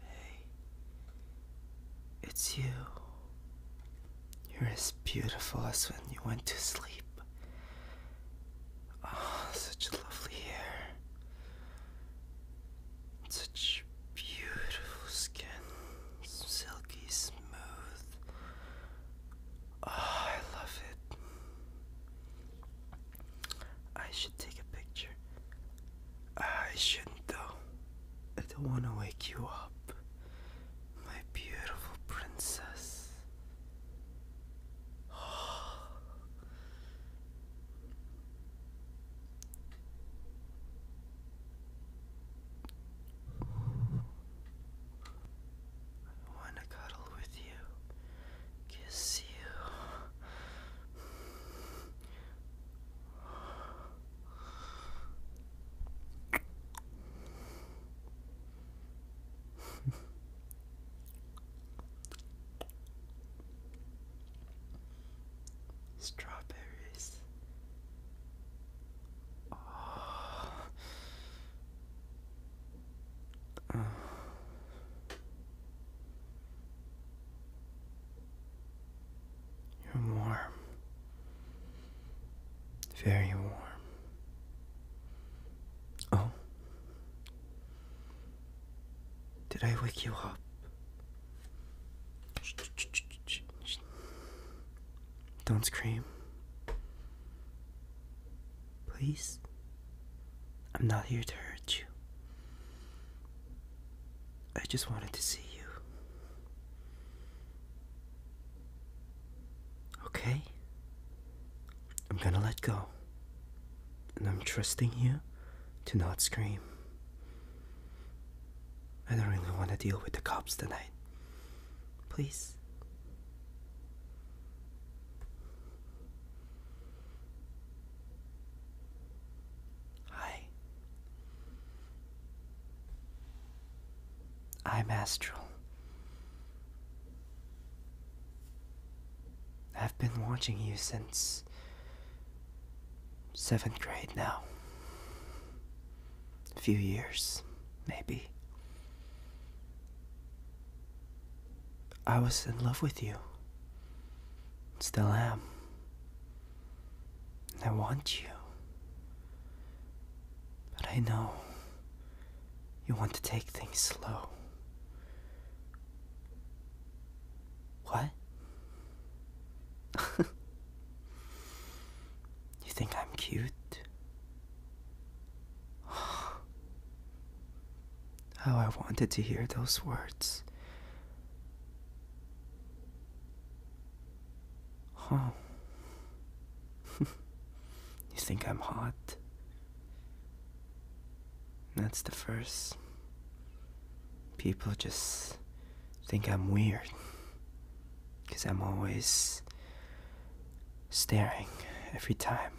Hey, it's you. You're as beautiful as when you went to sleep. Oh, such lovely hair. Such beautiful skin. Silky smooth. Ah, I love it. I should take a picture. I shouldn't though. I don't want to wake you up, my beautiful princess. Oh want to cuddle with you, kiss you. Strawberries you're warm, very warm. Oh, did I wake you up? Don't scream. Please. I'm not here to hurt you. I just wanted to see you. Okay? I'm gonna let go. And I'm trusting you to not scream. I don't really want to deal with the cops tonight. Please. Hi. I'm Astral. I've been watching you since seventh grade now. A few years, maybe. I was in love with you. Still am. I want you. But I know you want to take things slow. What? you think I'm cute? Oh, I wanted to hear those words. Oh. you think I'm hot? That's the first people just think I'm weird. Because I'm always staring every time.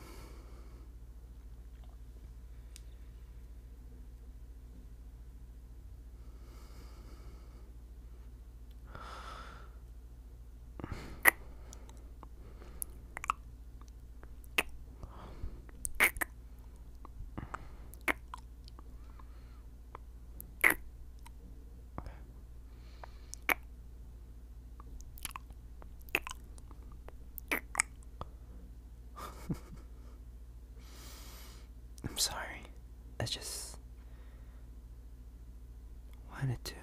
I'm sorry. I just wanted to.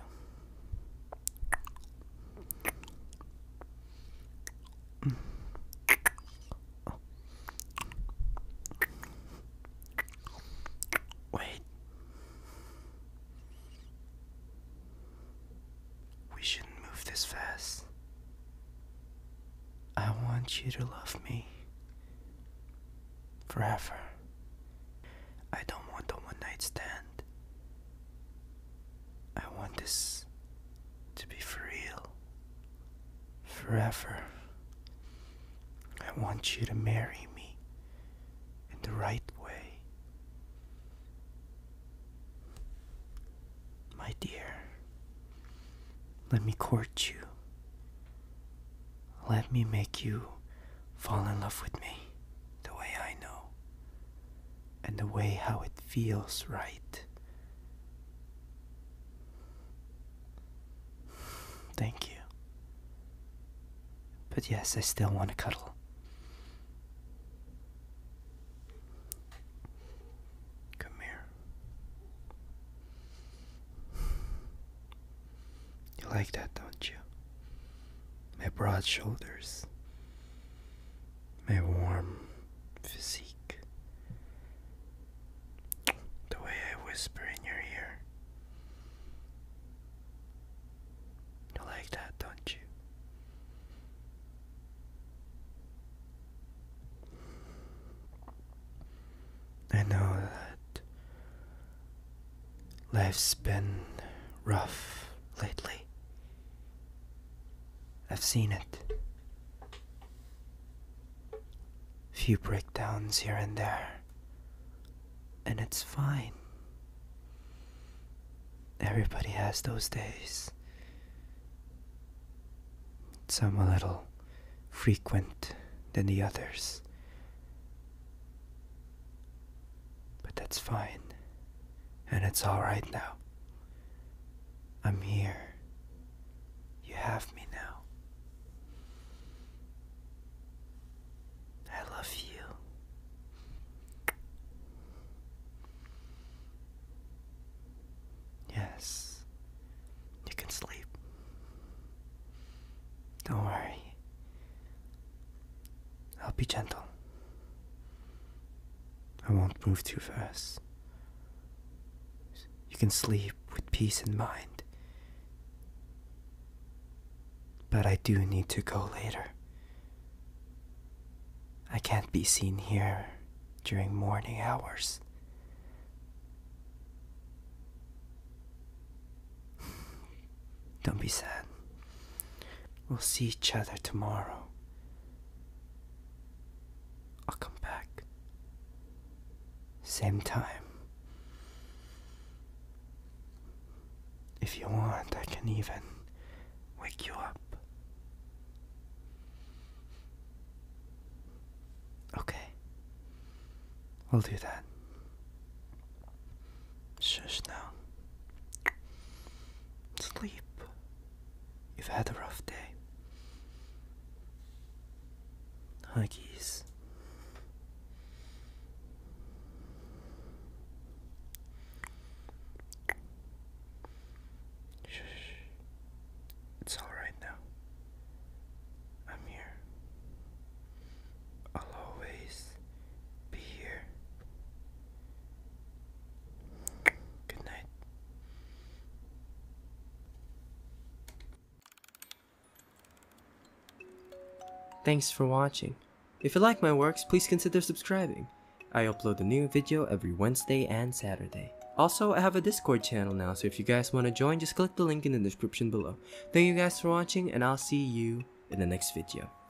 Wait. We shouldn't move this fast. I want you to love me forever. I don't want a one night stand. I want this to be for real forever. I want you to marry me in the right way. My dear, let me court you. Let me make you fall in love with me the way I know and the way how it feels right. Thank you. But yes, I still want to cuddle. Come here. You like that, don't you? My broad shoulders my warm physique. The way I whisper in your ear. You like that, don't you? I know that life's been rough lately. I've seen it. Few breakdowns here and there. And it's fine. Everybody has those days. Some a little frequent than the others. But that's fine and it's alright now. I'm here. You have me now. I love you. Yes, you can sleep. Don't worry. I'll be gentle. I won't move too fast. You can sleep with peace in mind. But I do need to go later. I can't be seen here during morning hours. Don't be sad. We'll see each other tomorrow. I'll come back. Same time. If you want, I can even wake you up. Okay. We'll do that. Shush now. Sleep. You've had a rough day. Huggies. Shush. It's alright now. I'm here. I'll always be here Good night. Thanks for watching. If you like my works, please consider subscribing. I upload a new video every Wednesday and Saturday. Also, I have a Discord channel now, so if you guys want to join, just click the link in the description below. Thank you guys for watching, and I'll see you in the next video.